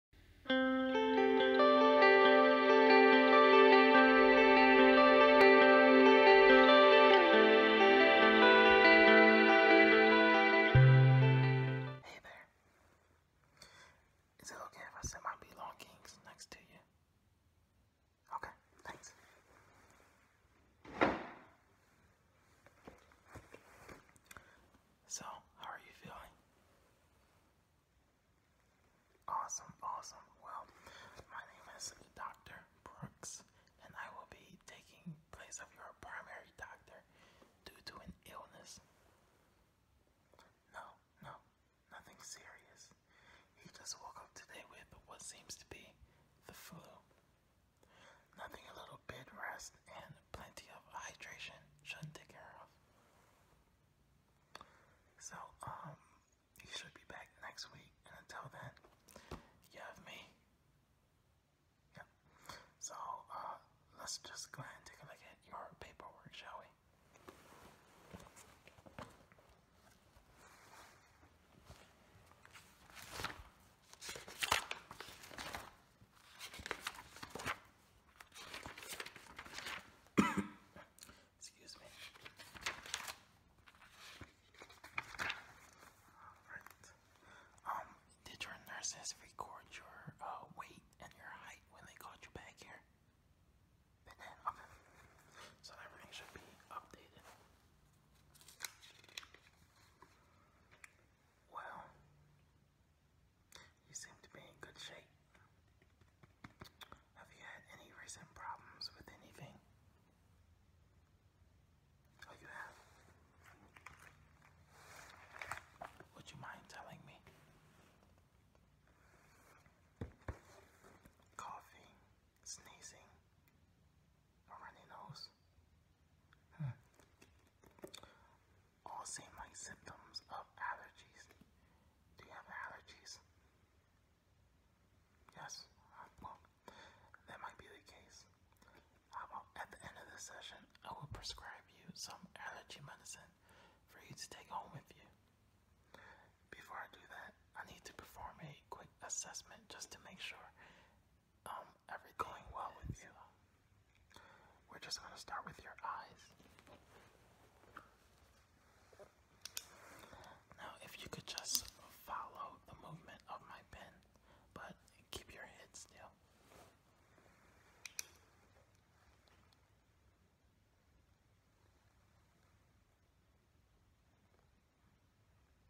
Is it okay if I set my belongings next to you? Okay, thanks. So, how are you feeling? Awesome, awesome. Well, my name is Dr. Brooks, and I will be taking place of your primary doctor due to an illness. No, no, nothing serious. He just woke up today with what seems to be the flu. Nothing a little bit rest and plenty of hydration should take care of. So, um, you should be back next week, until then, you have me. Yeah. So, uh, let's just go ahead and take a look at your paperwork, shall we? Excuse me. Um, did your nurses record your uh, weight and your height when they got you back here? Okay. So everything should be updated. Well, you seem to be in good shape. Have you had any recent problems with anything? Oh, you have? Would you mind telling me? Coughing, sneezing, or runny nose? All seem like symptoms of allergies. Do you have allergies? Yes. Uh, well, that might be the case. How at the end of the session, I will prescribe you some allergy medicine for you to take home with you. Before I do that, I need to perform a quick assessment just to make sure um, everything well with you. We're just going to start with your eyes. Now, if you could just follow the movement of my pen, but keep your head still.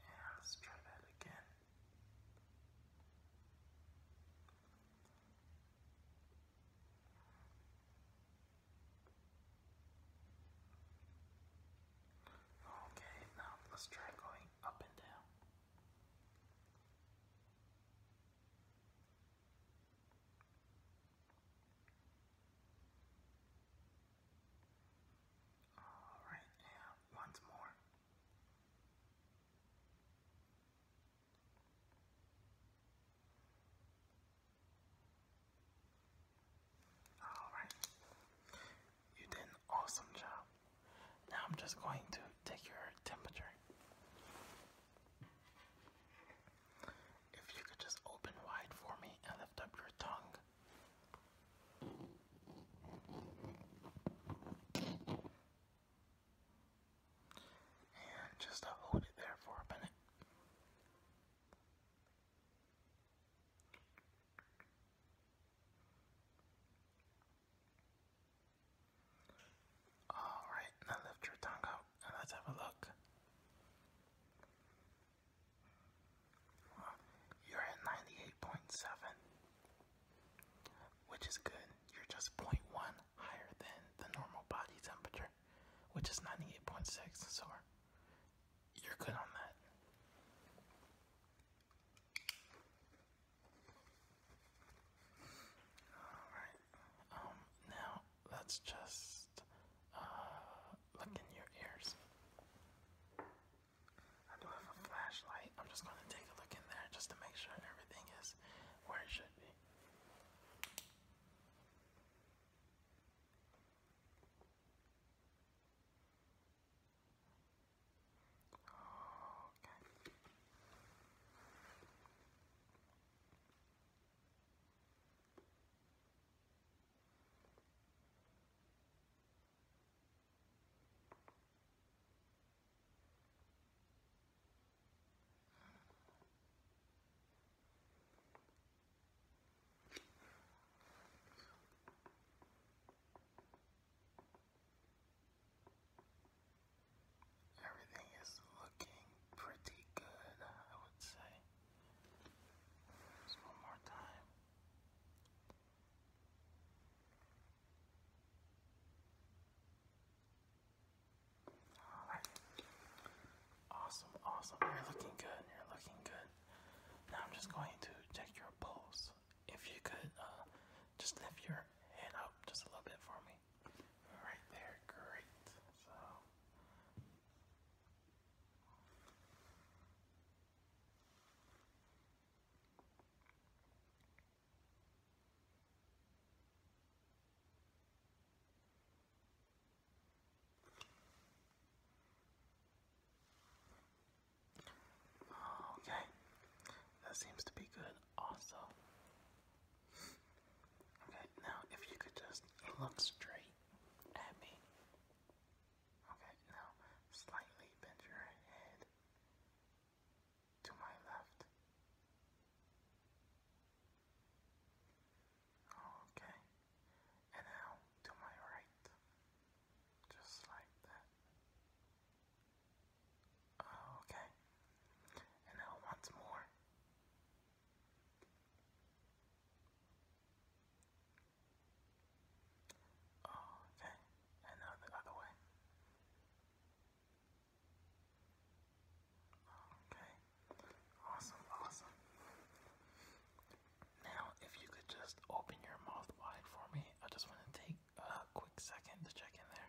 Yeah, let's try that again. Okay, now let's try going up and down. All right, and once more. All right. You did an awesome job. Now I'm just going to take your temperature. If you could just open wide for me and lift up your tongue and just hold it there for a minute. All right, now lift your tongue out and let's have a look. You're at 98.7, which is good. You're just 0.1 higher than the normal body temperature, which is 98.6, so you're good on that. Alright, um, now let's just uh, look in your ears. I do have a flashlight. I'm just going to take a look in there just to make sure everything is where it should be. Okay. Everything is looking pretty good, I would say. Just one more time. All right. Awesome, awesome. You're looking good. You're looking good. Now I'm just going to check your pulse. If you could uh, just lift your head up just a little bit for me. Right there, great. So Okay, that seems to be good, also. Okay, now if you could just look straight at me. Okay, now slightly bend your head to my left. Okay, and now to my right. Just like that. Okay, and now once more. Oh, okay. And the other way. Okay. Awesome, awesome. Now, if you could just open your mouth wide for me, I just want to take a quick second to check in there.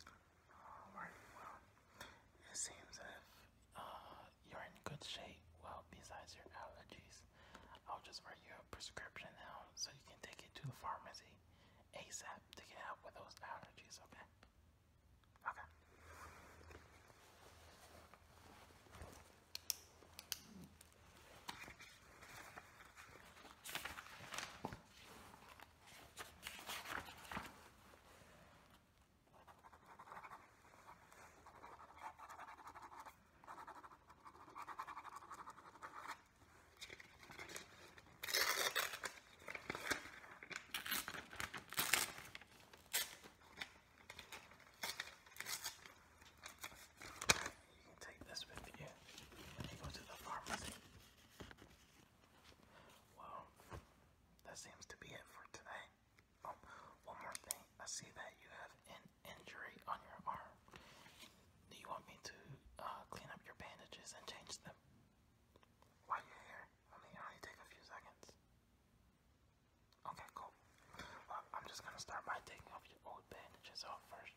Alright, well, it seems that uh, you're in good shape. Well, besides your allergies, I'll just write you a prescription now so you can take it to the pharmacy ASAP to get help with those allergies, okay? Okay. You can take this with you when you go to the pharmacy. Well, that seems to be it for today. Oh, one more thing. I see that you have an injury on your arm. Do you want me to uh, clean up your bandages and change them? While you're here, I mean, only take a few seconds. Okay, cool. Well, I'm just gonna start by taking off your old bandages off first.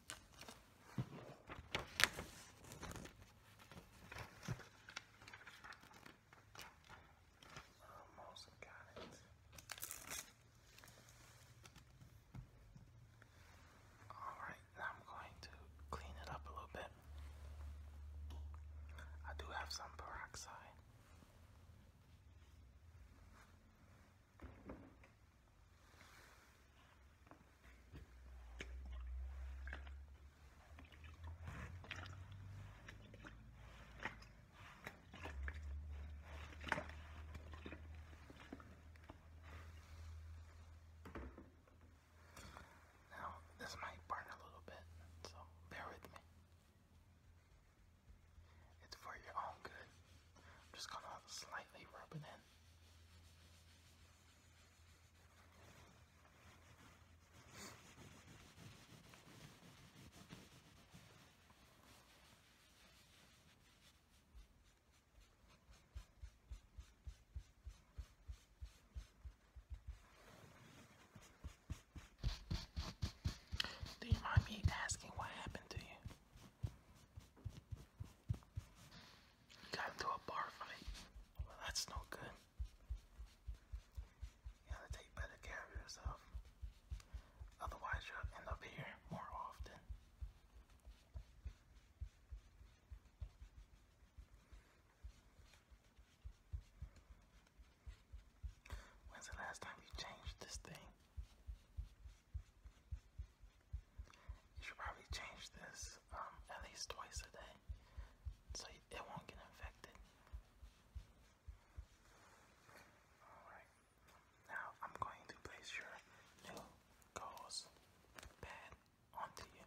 Almost got it. All right, I'm going to clean it up a little bit. I do have some peroxide. Now, this might burn a little bit, so bear with me. It's for your own good. I'm just gonna slightly rub it in. Do you mind me asking what happened to you? He got into a bar fight. that's no good. You gotta take better care of yourself. Otherwise, you'll end up here more often. When's the last time you changed this thing? You should probably change this um, at least twice a day so it won't get infected. Alright, now I'm going to place your new gauze pad onto you.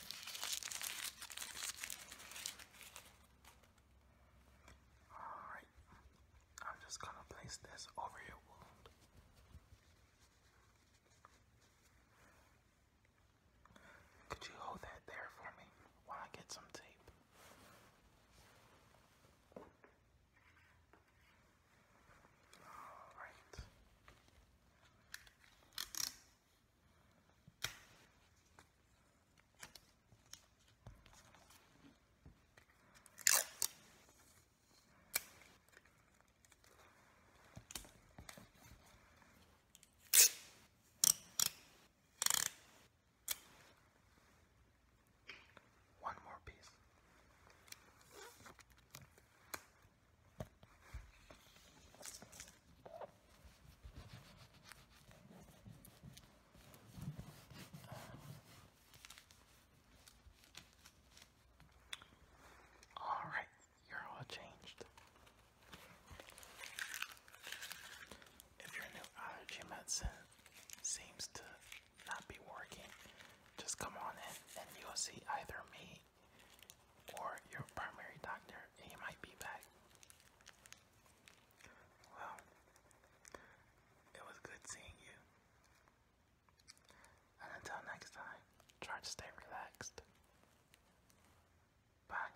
Alright, I'm just going to place this over your wound. Could you hold that there for me while I get some tape? Alright. One more piece. All right, you're all changed. If your new allergy uh, medicine seems to not be working, just come on in and you'll see either me or your primary doctor, and might be back. Well, it was good seeing you. And until next time, try to stay relaxed. Bye.